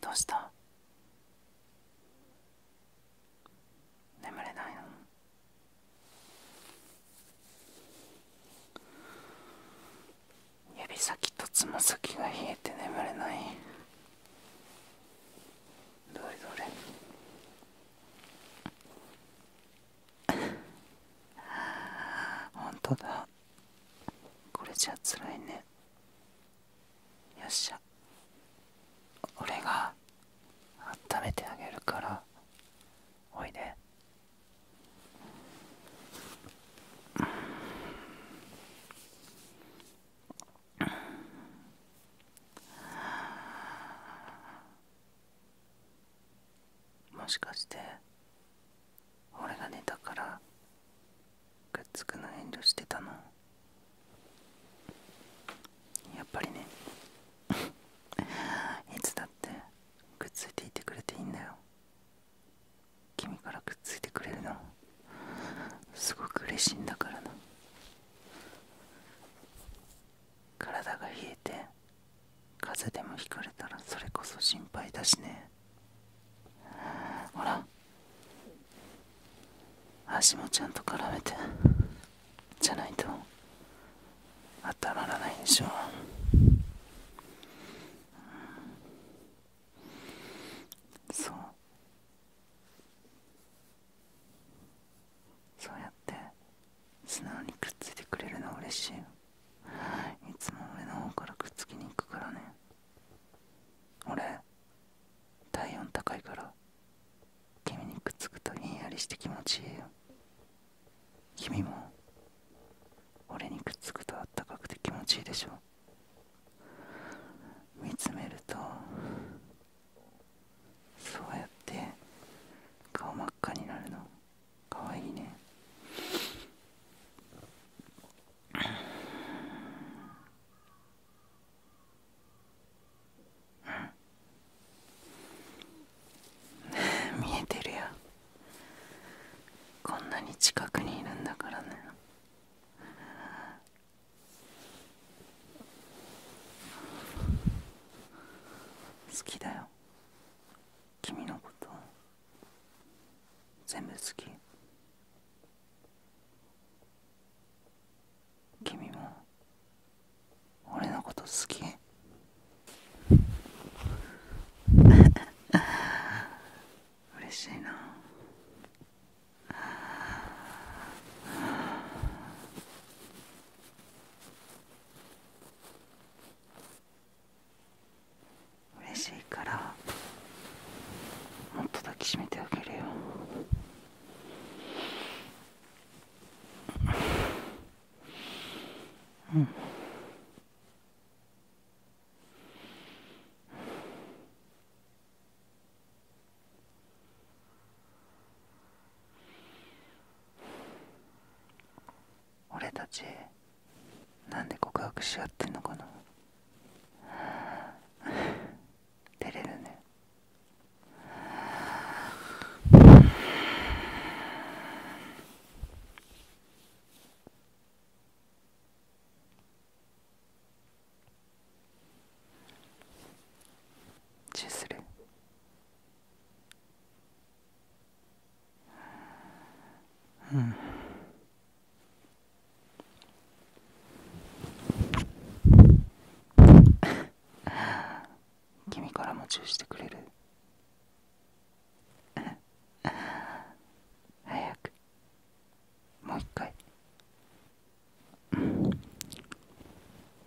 どうした眠れないの指先とつま先が冷えて眠れないどれどれああ、本当だこれじゃつらいねよっしゃ俺が温めてあげるからおいでもしかして俺が寝たからくっつくの遠慮してたのやっぱりねいつだってくっついていてくれていいんだよ君からくっついてくれるのすごく嬉しいんだからな体が冷えて風邪でもひかれたらそれこそ心配だしねほら足もちゃんと絡めてじゃないと当たらないでしょそうそうやって素直にくっついてくれるの嬉しいよいつも俺の方からくっつきに行くからね俺体温高いから君にくっつくとひんやりして気持ちいいよ君も俺にくっつくとあったかくて気持ちいいでしょ見つめるとそうやって顔真っ赤になるのかわいいねうんねえ、見えてるや。こんなに近くにいるんだからね好きだよ君のこと全部好き君も俺のこと好き嬉しいな嬉しいからもっと抱きしめてあげるようん俺たちなんで告白し合ってんのかな 照れるね チューするうん君からもチューしてくれる早くもう一回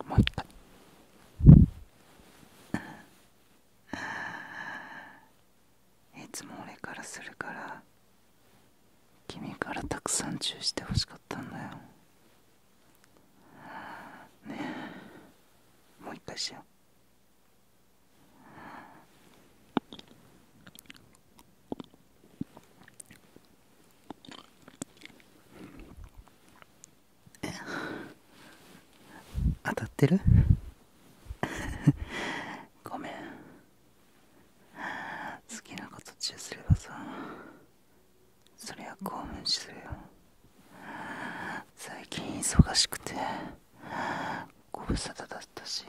もう一回いつも俺からするから君からたくさんチューしてほしかったんだよねえもう一回しよう 当たってる ごめん好きなこと中すればさそりゃ興奮するよ最近忙しくてご無沙汰だったし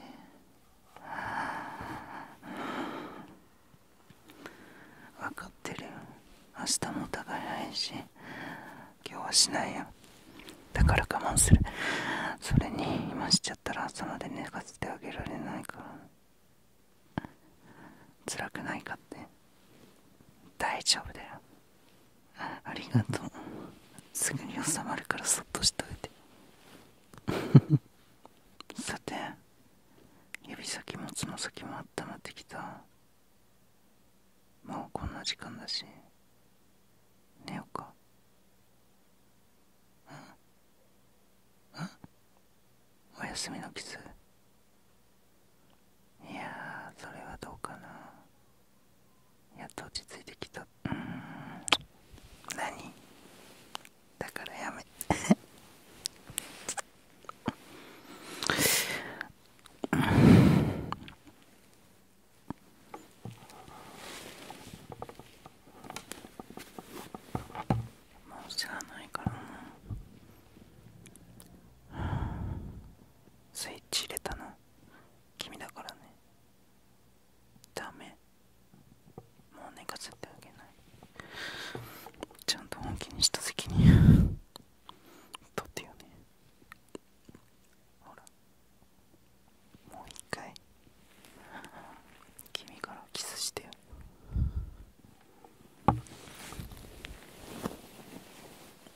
分かってるよ明日もお互いないし今日はしないよだから我慢するそれに今しちゃったら朝まで寝かせてあげられないから辛くないかって大丈夫だよありがとうすぐに収まるからそっとしといて さて指先もつま先もあったまってきたもうこんな時間だし寝ようかうんうん。おやすみのキスいやそれはどうかなやっと落ち着いてきたうん何だからやめ もう知らないからなスイッチ入れたの君だからねダメもう寝かせてあげないちゃんと本気にした責任取ってよねほらもう一回君からキスしてよ